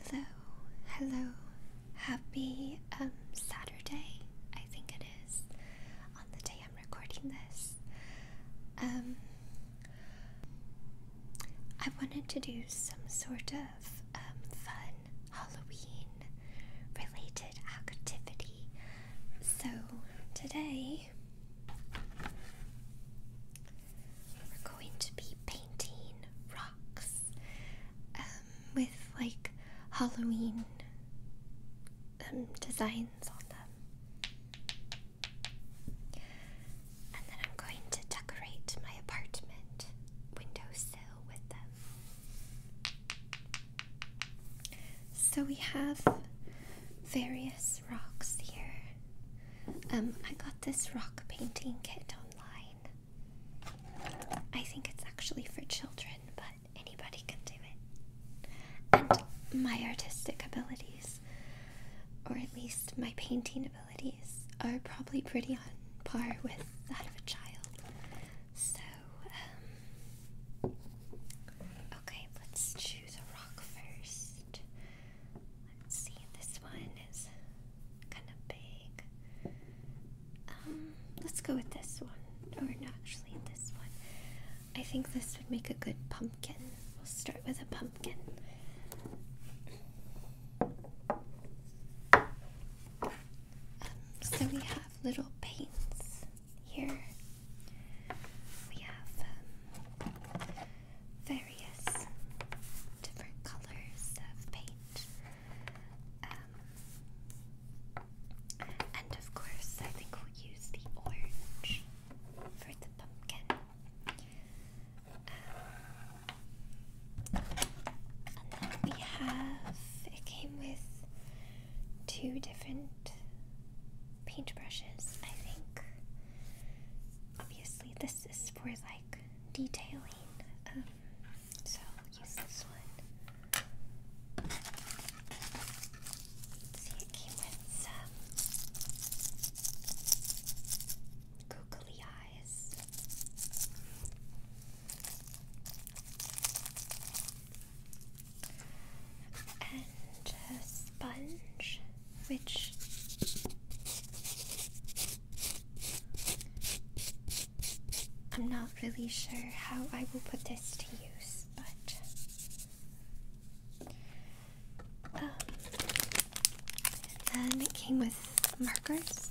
Hello, hello, happy um, Saturday, I think it is, on the day I'm recording this. Um, I wanted to do some sort of um, fun Halloween related activity. So today we're going to be painting rocks um, with like Halloween um, designs on them. And then I'm going to decorate my apartment windowsill with them. So we have various rocks here. Um, I got this rock painting kit online. I think it's actually for children, but anybody can do it. And my artistic abilities, or at least my painting abilities, are probably pretty on par with that of a child. So, um, okay, let's choose a rock first. Let's see, this one is kind of big. Um, let's go with this one. Or no, actually this one. I think this would make a good pumpkin. We'll start with a pumpkin. Um, so we have little paints here. We have um, various different colors of paint. Um, and of course, I think we'll use the orange for the pumpkin. Um, and then we have, it came with two different paintbrushes. I think. Obviously, this is for like detailing. Um, so use this one. See, it came with some googly eyes. And a sponge, which I'm not really sure how I will put this to use, but. then um, it came with markers,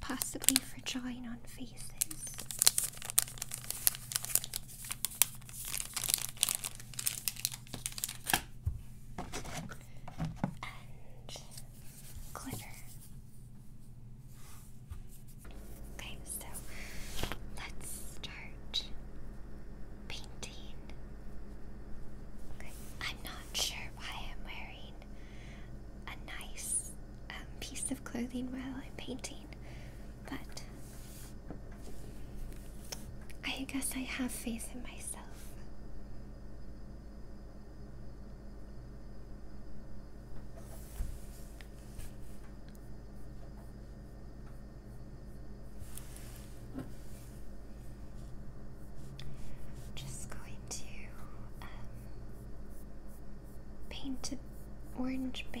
possibly for drawing on faces and glitter. Okay, so let's start painting. I'm not sure why I'm wearing a nice um, piece of clothing while I'm painting, but I guess I have faith in myself just going to um, paint an orange base.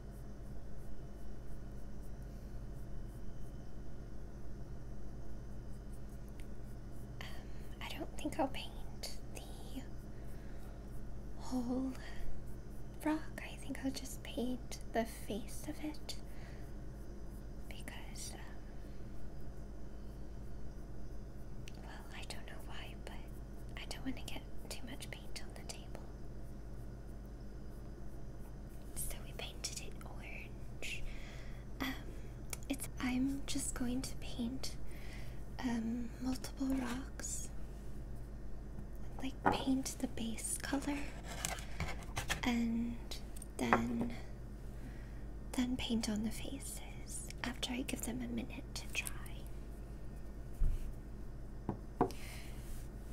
Um, I don't think I'll paint the whole rock. I think I'll just paint the face of it because, um, well, I don't know why, but I don't want to get too much paint on the table. So we painted it orange. Um, it's. I'm just going to paint um, multiple rocks. Like paint the base color, and then then paint on the faces after I give them a minute to dry. Um,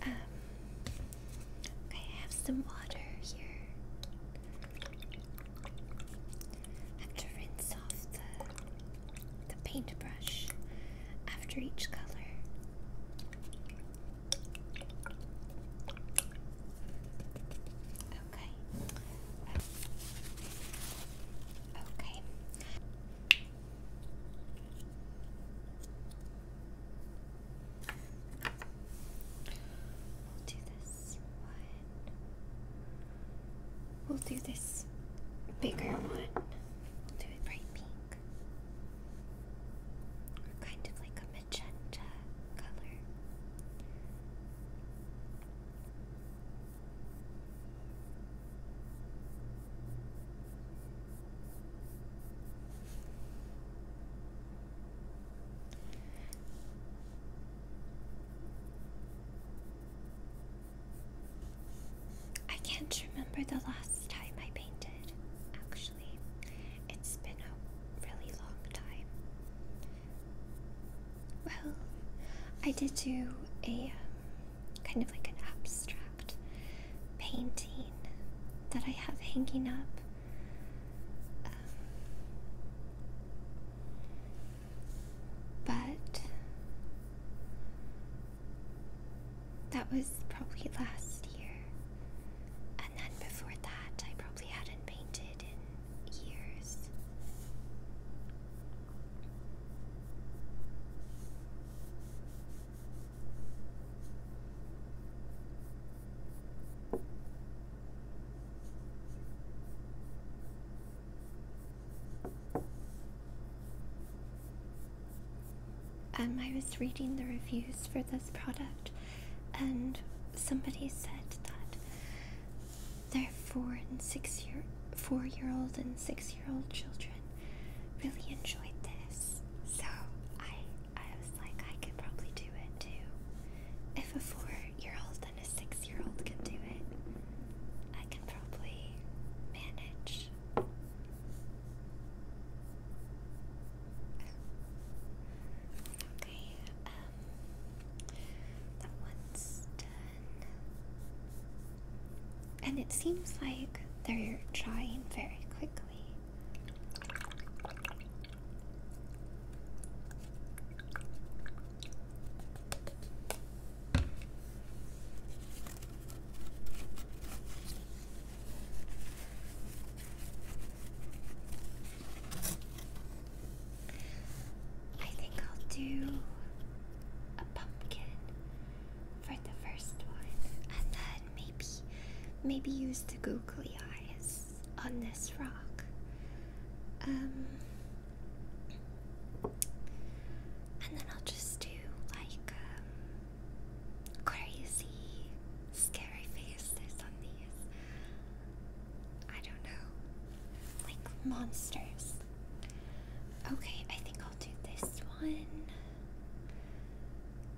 I have some water here. have to rinse off the, the paintbrush after each color. Okay. Okay. We'll do this one. We'll do this bigger one. do bright pink. Or kind of like a magenta color. I can't remember the last time I painted, actually. It's been a really long time. Well, I did do a um, kind of like an abstract painting that I have hanging up. Um, but that was probably last year. And then before that, I probably hadn't painted in years. Um, I was reading the reviews for this product, and somebody said that their four and six year four year old and six year old children really enjoyed this. So I I was like I could probably do it too. If a four-year-old and a six-year-old can do it, I can probably manage. Okay, um, that one's done. And it seems like they're trying very quickly I think I'll do a pumpkin for the first one, and then maybe maybe use the googly eyes on this rock. Um, and then I'll just do like um, crazy, scary faces on these. I don't know, like monsters. Okay, I think I'll do this one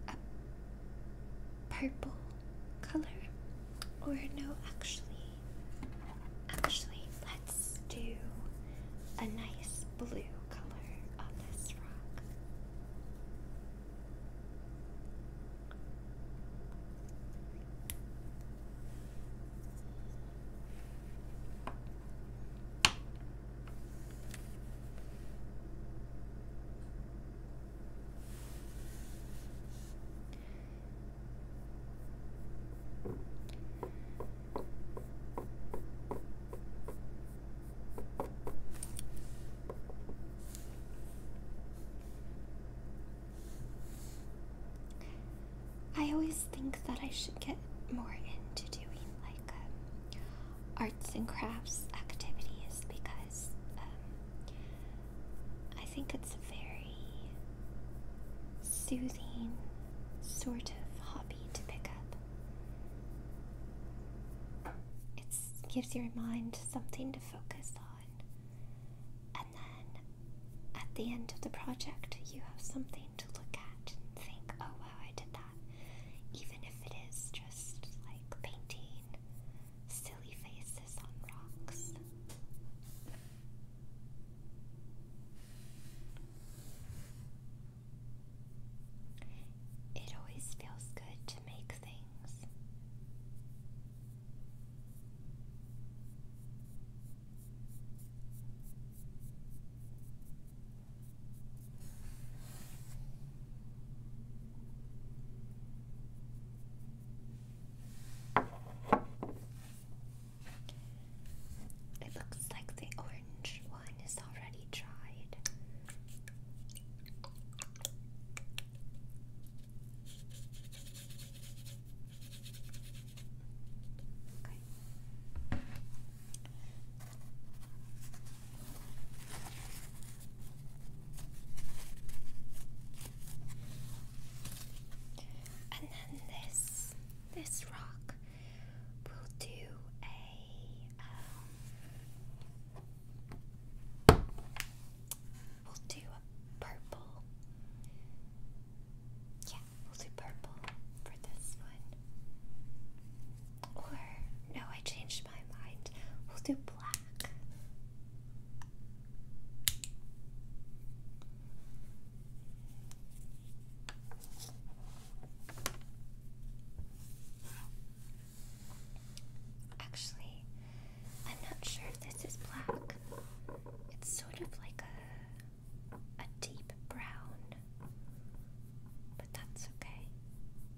a purple color. Or no, actually, actually, let's do a nice blue color on this rock. I always think that I should get more into doing like um, arts and crafts activities because um, I think it's a very soothing sort of hobby to pick up. It gives your mind something to focus on, and then at the end of the project, you have something to look at and think, oh wow, I did that. Even if it is just like painting silly faces on rocks. It always feels good to make things. It looks like the orange one is already dried. And then this this rock will do a um, we'll do a purple. Yeah, we'll do purple for this one. Or, no, I changed my mind. We'll do black. Actually, I'm not sure this is black. It's sort of like a a deep brown. But that's okay.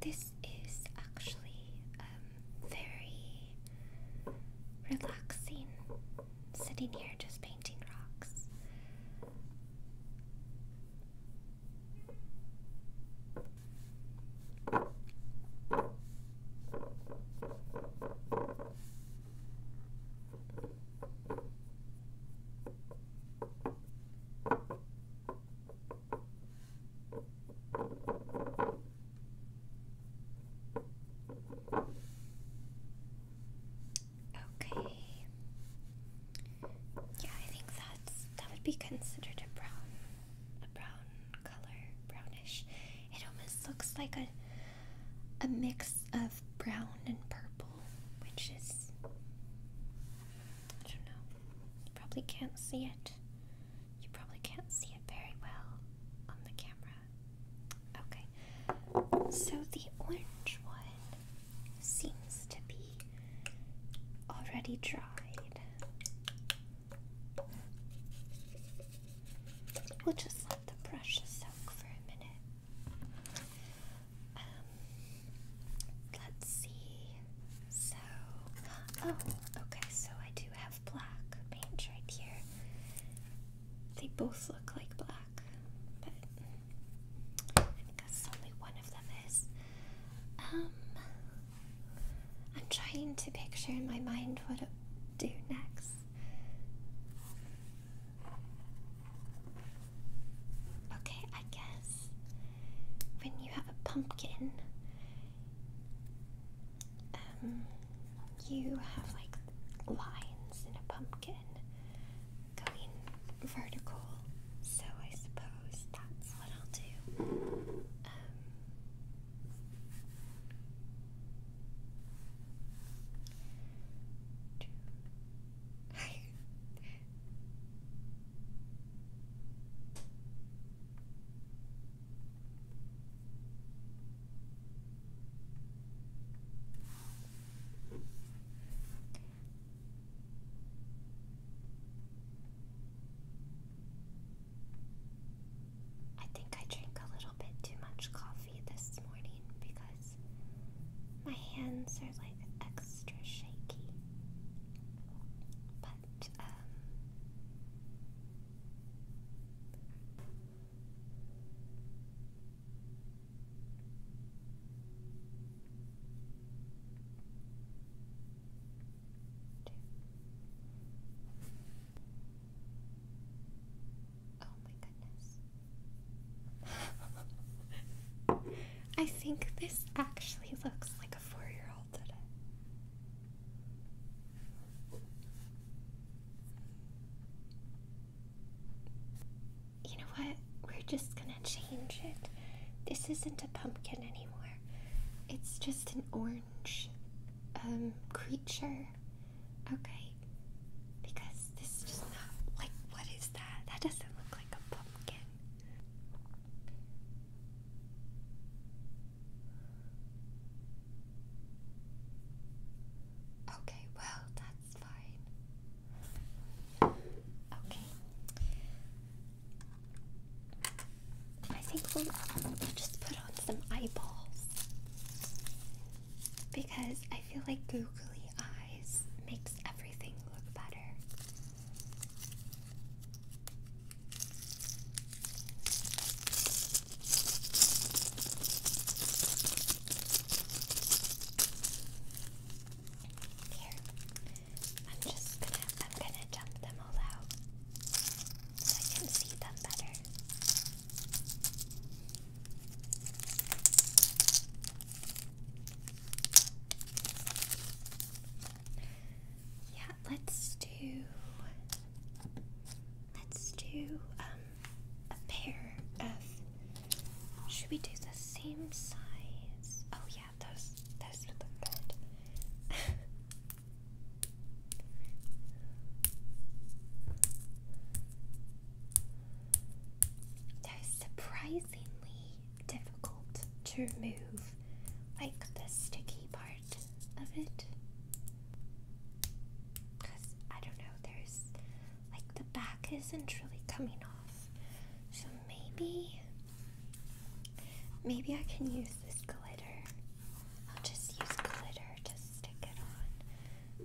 This is actually um, very relaxing sitting here just painting rocks. Okay. Yeah, I think that's that would be considered a brown a brown color, brownish. It almost looks like a a mix of brown and purple, which is. I don't know. You probably can't see it. You probably can't see it very well on the camera. Okay. So the orange one seems to be already dried. We'll just let the brush soak for a minute. Um, let's see. So, oh, okay, so I do have black right here. They both look like black, but I guess only one of them is. Um, I'm trying to picture in my mind what to do next. Okay, I guess when you have a pumpkin, um, you have like lines in a pumpkin going vertical, so I suppose that's what I'll do. Um, I think I drink a little bit too much coffee this morning because my hands are like extra shaky. But, um, Oh my goodness. I think this actually looks like a four year old did it. You know what? We're just gonna change it. This isn't a pumpkin anymore. It's just an orange um creature Okay. Because this is just not like what is that? That doesn't look like a pumpkin. Okay, well, that's fine. Okay. I think we'll, just put on some eyeballs because I feel like googly eyes makes everything look better. Here, I'm just I'm gonna dump them all out so I can see them better. Yeah, let's do let's do um a pair of should we do the same size? Oh yeah, those those would look good. They're surprisingly difficult to remove, like the sticky part of it. Because I don't know, there's like the back isn't really coming off. So maybe, maybe I can use this glitter. I'll just use glitter to stick it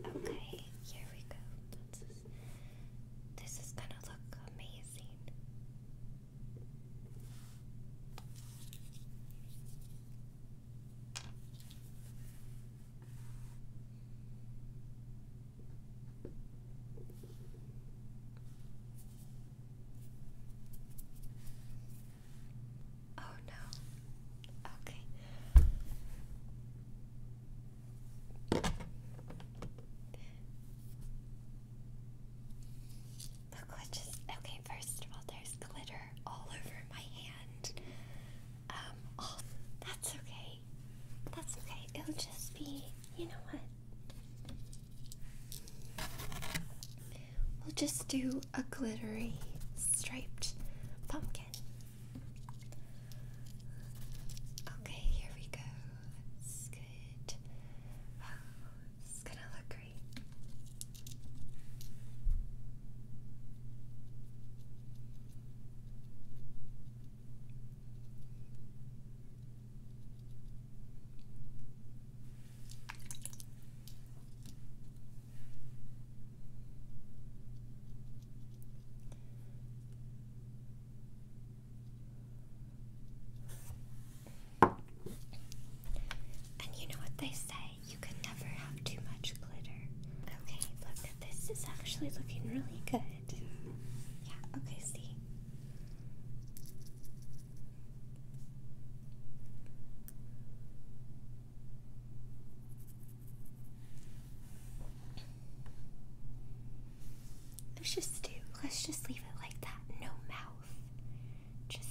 on. Okay, here we go this. is gonna look amazing. Oh no. Okay. Look what just okay, first of all there's glitter all over my hand. Um oh, that's okay. That's okay. It'll just be you know what? We'll just do a glittery striped pumpkin again. Okay, here we go. That's good. Oh, this is gonna look great. And you know what they say? You can never have too much glitter. Okay, look, this is actually looking really good. Yeah, okay, see? Let's just do. Let's just leave it like that. No mouth. Just,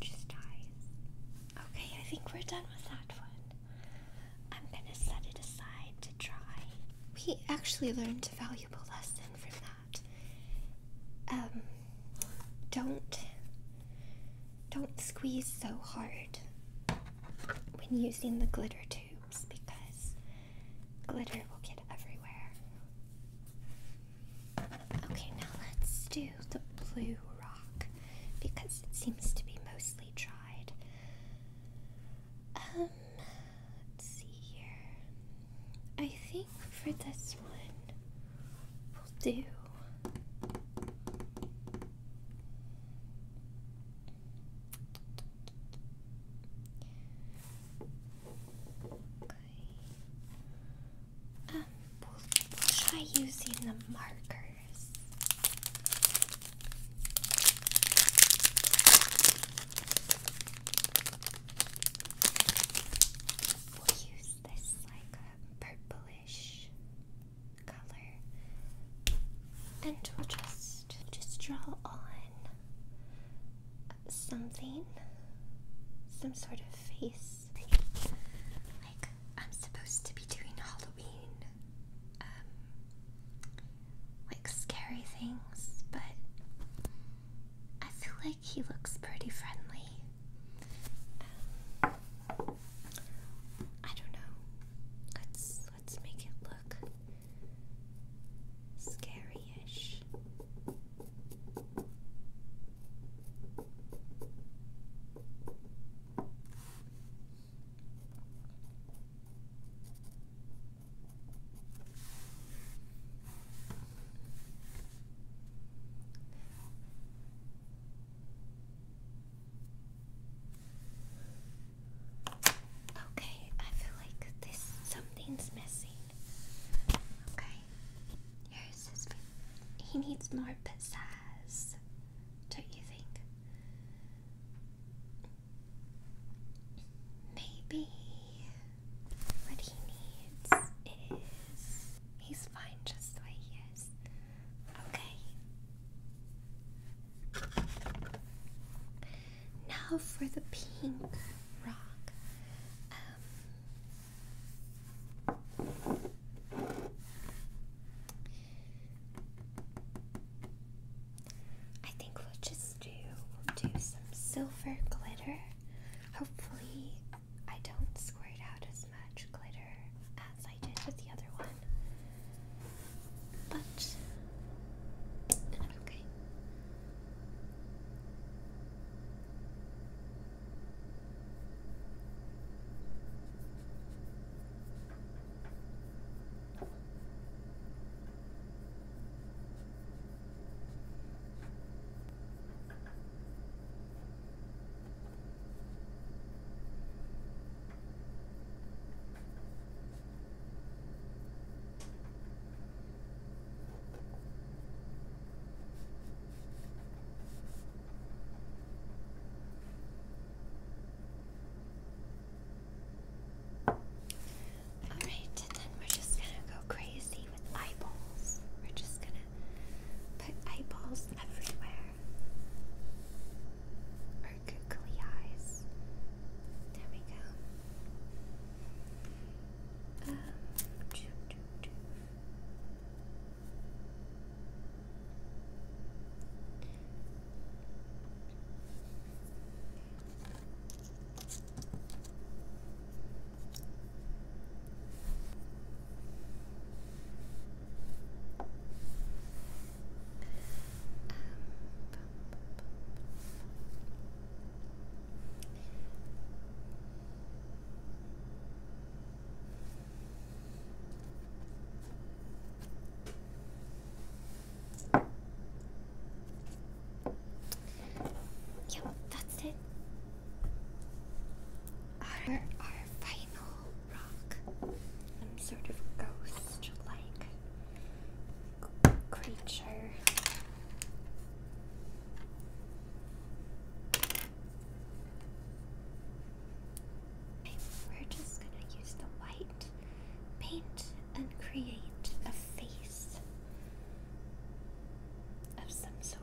just eyes. Okay, I think we're done with that one. I'm gonna set it aside to try. We actually learned a valuable lesson from that. Um, don't, don't squeeze so hard when using the glitter tube because glitter will get everywhere. Okay, now let's do the blue rock because it seems to be mostly dried. Um, let's see here. I think for this one, we'll do. Okay. Um, we'll, we using the markers. We'll use this like purplish color, and we'll just just draw on something, some sort of face. Like I'm supposed to be doing Halloween, um, like scary things, but I feel like he looks pretty friendly. Um, I don't know. Let's let's make it look scary-ish. Okay, I feel like this something's missing. Okay, He needs more bit don't you think? Maybe what he needs is he's fine just the way he is. Okay, now for the pink rock. Um, I think we'll just do do some silver glitter. Hopefully, I don't squirt out as much glitter as I did with the other one but okay. All right, and then we're just gonna go crazy with eyeballs. We're just gonna put eyeballs everywhere her googly eyes. There we go. Um, Yep, that's it. Our, our final rock. Some sort of ghost like creature. we're just gonna use the white paint and create a face of some sort.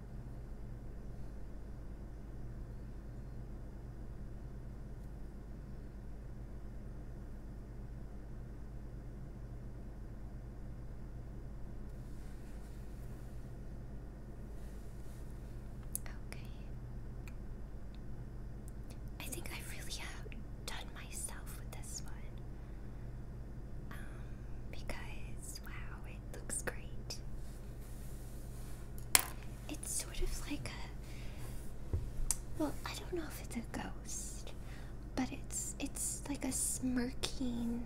Okay. I think I really have done myself with this one. Um, because Wow, it looks great. It's sort of like a well, I don't know if it's a ghost, but it's it's like a smirking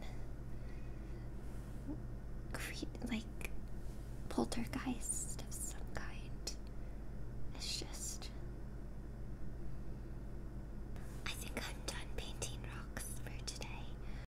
cre- like poltergeist of some kind. It's just I think I'm done painting rocks for today.